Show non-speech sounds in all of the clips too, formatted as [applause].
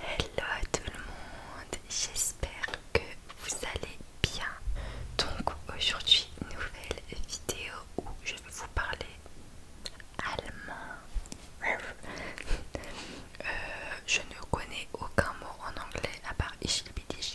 Hello tout le monde, j'espère que vous allez bien. Donc aujourd'hui, nouvelle vidéo où je vais vous parler allemand. [laughs] Euh, je ne connais aucun mot en anglais à part ich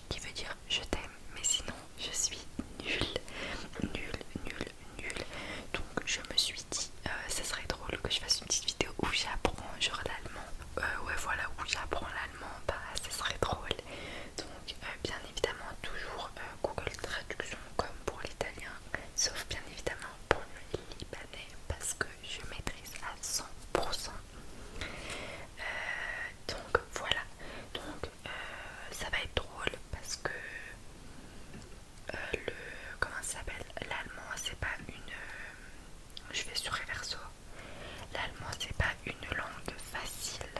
qui veut dire je t'aime, mais sinon je suis nulle, nulle, nulle, nulle. Donc je me suis dit ce euh, serait drôle que je fasse une petite vidéo où j'apprends genre l'allemand. Euh, ouais voilà où j'apprends l'allemand, bah ça serait drôle. Donc euh, bien évidemment toujours Google Traduction comme pour l'italien, sauf bien évidemment pour le libanais parce que je maîtrise à 100%. donc voilà, donc ça va être drôle parce que euh, le comment ça s'appelle l'allemand c'est pas une euh, je vais sur Reverso l'allemand c'est pas une langue facile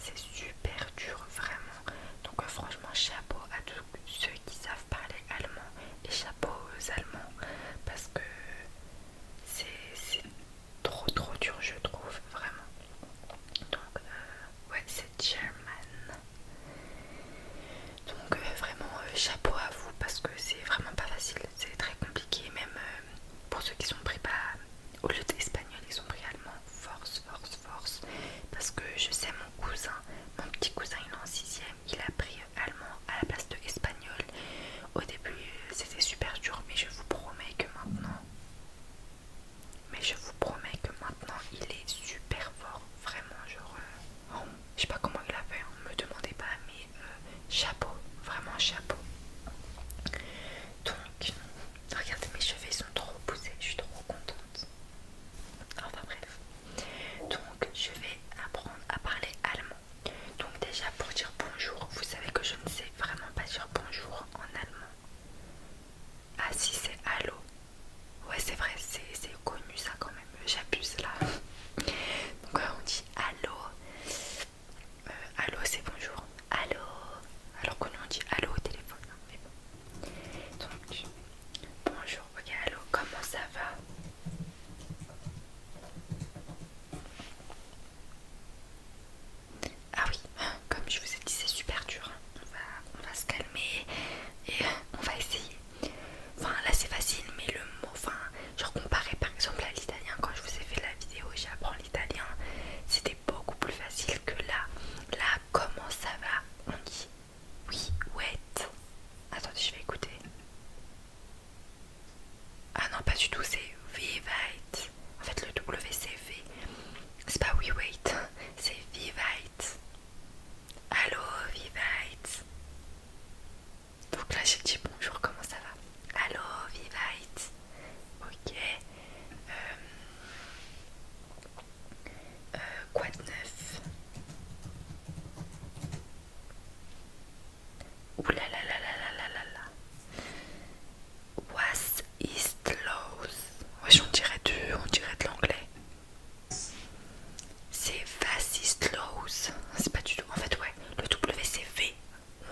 c'est super dur vraiment donc euh, franchement chapeau à tous ceux qui savent parler allemand et chapeau aux allemands parce que c'est trop trop dur je trouve vraiment donc ouais c'est German donc euh, vraiment euh, chapeau à vous parce que c'est vraiment pas facile, c'est très compliqué même euh, pour ceux qui sont pris pas au lieu d'espagnol ils sont pris allemand, force, force, force. Parce que je sais mon cousin, mon petit cousin il est en 6ème, il a pris allemand à la place de espagnol. Au début c'était super dur mais je vous promets que maintenant mais je vous promets que maintenant il est super fort, vraiment je je sais pas comment il l'a fait, on hein. me demandez pas, mais chapeaux, euh, chapeau, vraiment chapeau. Donc, regardez, mes cheveux sont trop poussés, je suis trop contente. Enfin bref, donc je vais apprendre à parler allemand. Donc déjà pour dire bonjour, vous savez que je ne sais vraiment pas dire bonjour en allemand. Ah si c'est allo Ouais c'est vrai, c'est connu ça quand même, j'abuse là. Donc euh, on dit allô. Euh, allô c'est bonjour. Allô. Alors que on dit allô au téléphone. Hein, mais bonjour, ok allô, comment ça va ah oui, comme je vous ai dit, c'est super dur. Hein on va, se calmer et on va essayer. Enfin là c'est facile mais le mot, enfin genre comparé par exemple à l'italien quand je vous ai fait la vidéo j'apprends l'italien c'était beaucoup plus facile que là. Là comment ça va On dit oui wait Attendez je vais écouter. Ah non pas du tout c'est vivite. En fait le W c'est V. C'est pas we wait, c'est vivite. Allô Vivite Donc là j'ai dit bonjour, comment ça va Allô Vivite Ok. Euh, euh, quoi de neuf Oulalalalalala What is close Ouais, on dirait, du, on dirait de l'anglais. C'est laws C'est pas du tout. En fait, ouais, le WCV.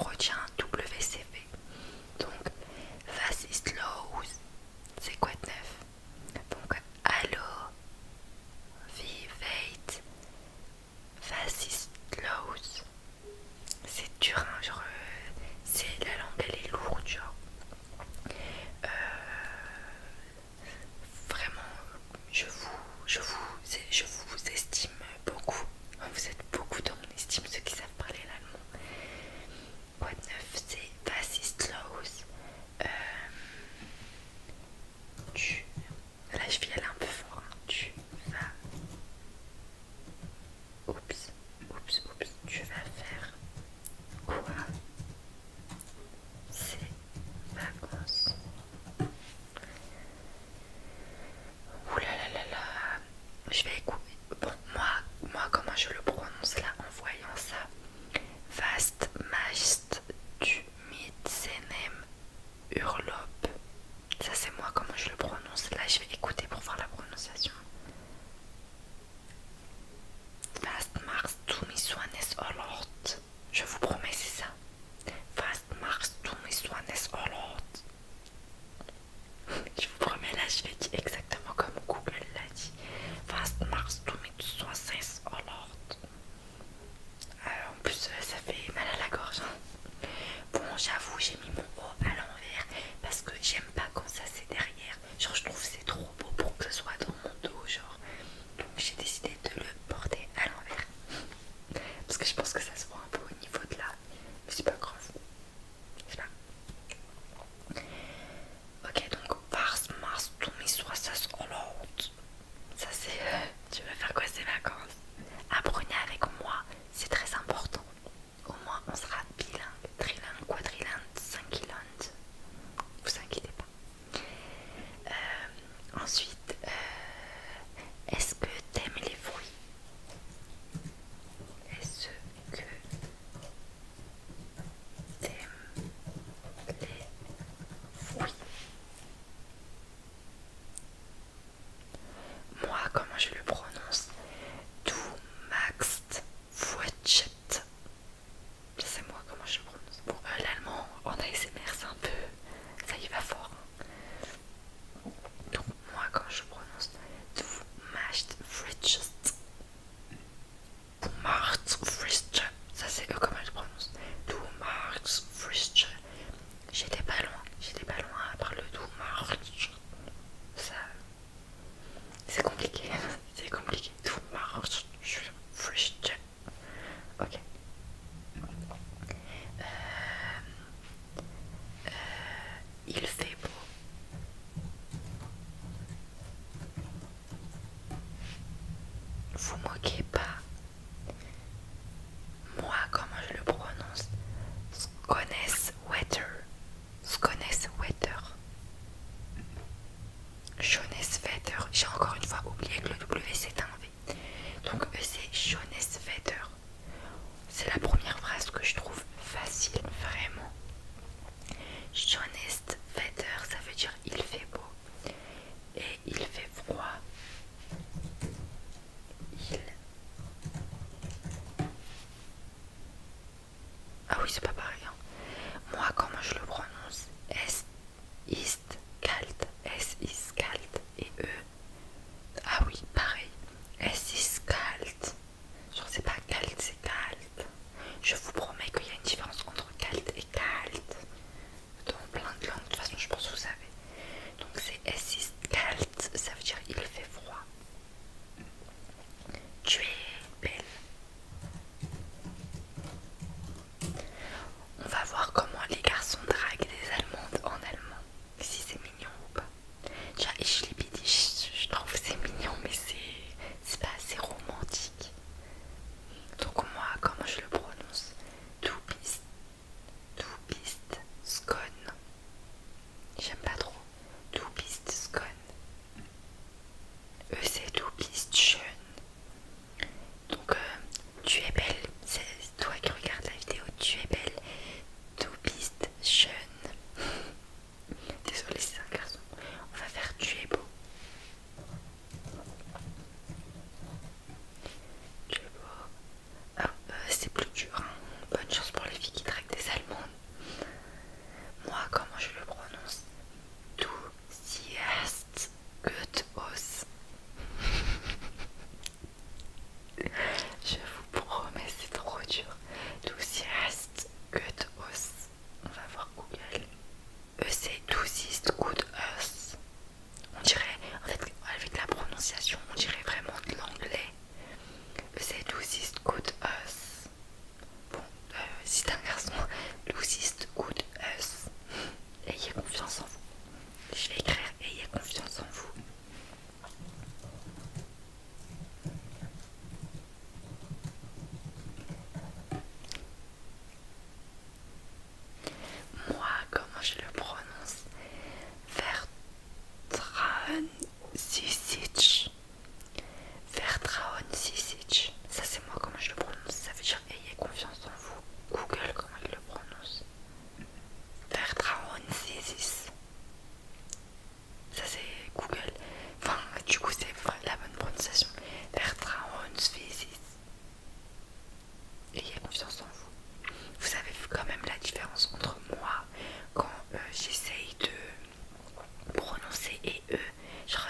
On retient WCV. Donc, laws C'est quoi de neuf Donc, Allo, Vivate, laws C'est dur, hein, genre. Euh, c'est la langue, elle est lourde, genre. Euh, vraiment, je vous, je, vous, estime beaucoup. Vous êtes beaucoup dans mon estime, ceux qui savent parler l'allemand. Quoi neuf C'est Was euh, Tu. Là, je vais aller un peu fort. Tu vas. Oups. Oups, oups, tu vas faire quoi C'est vacances Ouh là là là là Je vais écouter. Bon, moi, moi, comment je le prononce là en voyant ça Vast Majst du même Urlop. Ça, c'est moi, comment je le prononce là Je vais écouter pour voir la prononciation fast Fastmachst du mich so eines Lord? Je vous promets, c'est ça. Fastmachst du mich so eines Je vous promets, là, je vais dire exactement comme Google l'a dit. Fastmachst du mich so eines O Lord? Euh, en plus, euh, ça fait mal à la gorge. Hein. Bon, j'avoue, j'ai mis mon haut à l'envers parce que j'aime pas quand ça c'est derrière. Genre, je trouve c'est trop beau pour que ce soit dans mon dos, genre. Donc, j'ai décidé de le porter à l'envers. Parce que je pense que ça se voit un peu au niveau de là. Mais c'est pas grave. sais pas. Ok, donc, mars Mars, Tommy, Ça, c'est. Euh, tu veux faire quoi ces vacances Apprenez avec moi, c'est très important au moins on sera bilingue, trilingue, quadrilingue, cinquilingue, vous inquiétez pas. Euh, ensuite, euh, est-ce que t'aimes les fruits Est-ce que t'aimes les fruits moi, comment je le prononce Tout maxte ça C'est moi comment je le prononce. Bon, euh, l'allemand en ASMR, c'est un peu. Ça y va fort. Hein. Donc, moi, quand je prononce. Du macht Fritschest. Du macht Fritschest. Ça, c'est eux comment je prononce. Du macht Fritschest. J'étais pas loin. J'étais pas loin à le du macht. Ça, c'est compliqué, c'est compliqué. Tout marrant, je suis frustrée. Ok. Euh, euh, il fait beau. Vous moquez pas. Moi, comment je le prononce, connais weather jeunesse Schoneswetter. J'ai encore une fois oublié que le W c'est un V. Donc e, c'est Schoneswetter. C'est la première phrase que je trouve facile, vraiment. Schoneswetter, ça veut dire il fait beau. Et il fait froid. Il ah oui, c'est pas pareil. Hein. Moi, comment je le prononce S, ist, kalt, S, is, kalt et E. Ah oui, pareil. S, is, kalt. Genre, c'est pas kalt, c'est kalt. Je vous promets qu'il y a une différence entre calte et kalt. Dans plein de langues, de toute façon, je pense que vous savez. Donc, c'est S, ist, kalt, ça veut dire il fait froid. Tu es belle. On va voir comment les garçons draguent des Allemandes en allemand. Si c'est mignon ou pas. Déjà, je, je trouve c'est mignon, mais c'est pas assez romantique. Donc, moi, comment je le prononce Tout piste. Tout J'aime pas trop. To bist scone E c'est du bist Donc euh, tu es belle, c'est toi qui regardes la vidéo, tu es belle. Too bist jeune [laughs] Désolée, c'est un garçon. On va faire tu es beau. Tu es beau. Euh, c'est plus dur. Hein. Bonne chance pour les filles qui traquent des allemandes. Moi, comment je le prononce Douziest, good gut os Je vous promets, c'est trop dur. Douziest, gut os On va voir Google. E c'est douziest gut On dirait, en fait, avec la prononciation, on dirait vraiment de l'anglais. C'est lousist Good Us. Bon, euh, si t'es un garçon, Lucist Good Us. Ayez confiance en vous. Je vais écrire Ayez confiance en vous. Moi, comment je le prononce Vert Sisic. Vertraon Ça c'est moi comment je le prononce. Ça veut dire ayez confiance en vous. Google comment il le prononce. Vertraon Ça c'est Google. Enfin du coup c'est la bonne prononciation. Vertraon Ayez confiance en vous. Vous avez vu quand même la différence entre moi quand euh, j'essaye de prononcer et eux.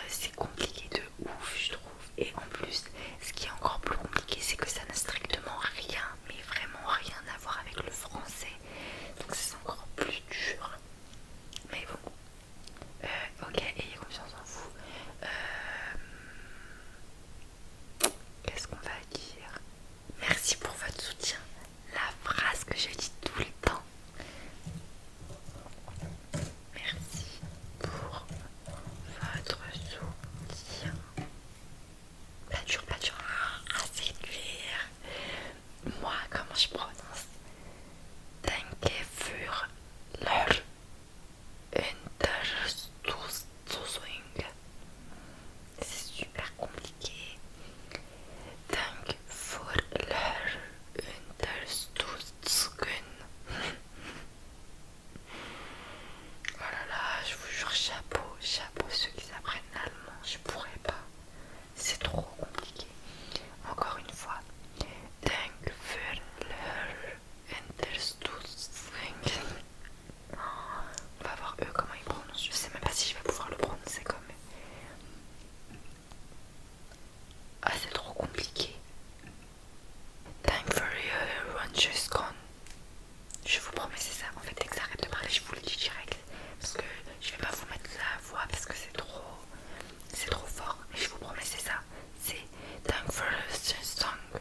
C'est compliqué de ouf, je trouve. Et en plus, ce qui est encore plus compliqué, c'est que ça n'a strictement rien, mais vraiment rien à voir avec le français. Donc c'est encore plus dur. Mais bon. Euh, ok, ayez confiance en vous. Euh, qu'est-ce qu'on va dire Merci pour votre soutien. La phrase que je dis tout le temps. Merci pour votre soutien. Pas dur, pas Moi, comment je prononce Danke für leur c'est super compliqué. Dank [laughs] Oh là là, je vous jure, chapeau, chapeau, ceux qui apprennent l'allemand, je pourrais pas. C'est trop compliqué. Encore une fois. Dank für on va voir eux comment ils prononcent. Je sais même pas si je vais pouvoir le prononcer comme. Ah, c'est trop compliqué. Time for your just Gone. Je vous promets, c'est ça. En fait, dès que ça de parler, je vous le dis direct. Parce que je vais pas vous mettre la voix parce que c'est trop. C'est trop fort. Et je vous promets, c'est ça. C'est Time for your song.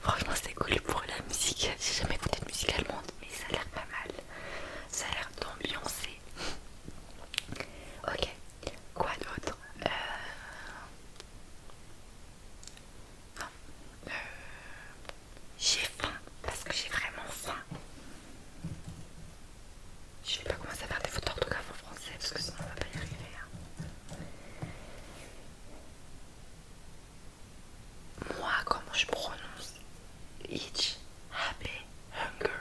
Franchement, c'est cool pour la musique. J'ai jamais écouté de musique allemande, mais ça a l'air pas mal. Ça a l'air d'ambiancer. Ok, quoi d'autre euh, euh, j'ai faim parce que j'ai vraiment faim. Je vais pas commencer à faire des photos d'orthographe en français parce que sinon on va pas y arriver. Hein. Moi, comment je prononce Ich habe hunger.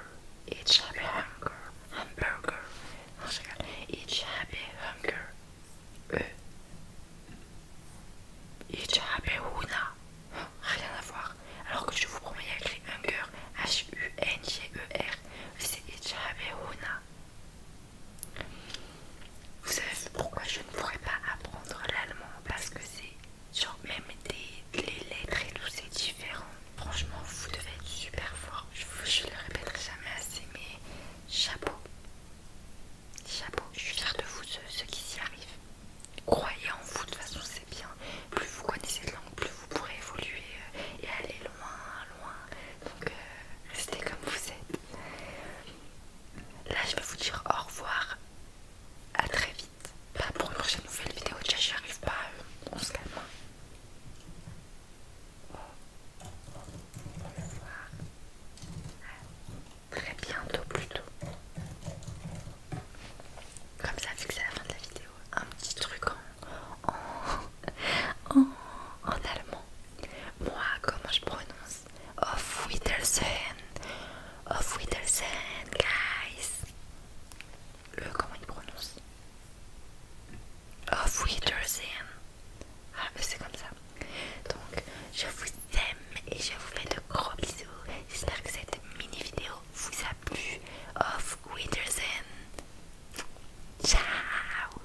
Each habe hunger. Hamburger. Non, je rigole happy hunger. E. Each happy huna. Rien à voir. Alors que je vous promets, il y hunger. H-U-N-G-E-R. C'est Each habe huna. Vous savez pourquoi je ne pourrais pas apprendre l'allemand Parce que c'est genre même des, les lettres et tout c'est différent. Franchement vous devez être super fort. Je, ne le répéterai jamais assez mais chapeau. Chapeau. Je suis fière de vous ceux, qui s'y arrivent. Croyez en vous de toute façon c'est bien. Plus vous connaissez de langue, plus vous pourrez évoluer euh, et aller loin, loin. Donc euh, restez comme vous êtes. Là, je vais vous dire au revoir. À très vite. Bah, pour une prochaine nouvelle vidéo, déjà, j'y arrive pas. Euh, on se très bientôt, plutôt. Comme ça, vu que c'est la fin de la vidéo, un petit truc en, en [laughs] allemand. Moi, comment je prononce Of Whittelsen. Of Whittelsen, guys. Le, comment il prononce Of Whittelsen. Ah, mais c'est comme ça. Donc, je vous aime et je vous fais de gros bisous. J'espère que cette mini vidéo vous a plu. Of Whittelsen. Ciao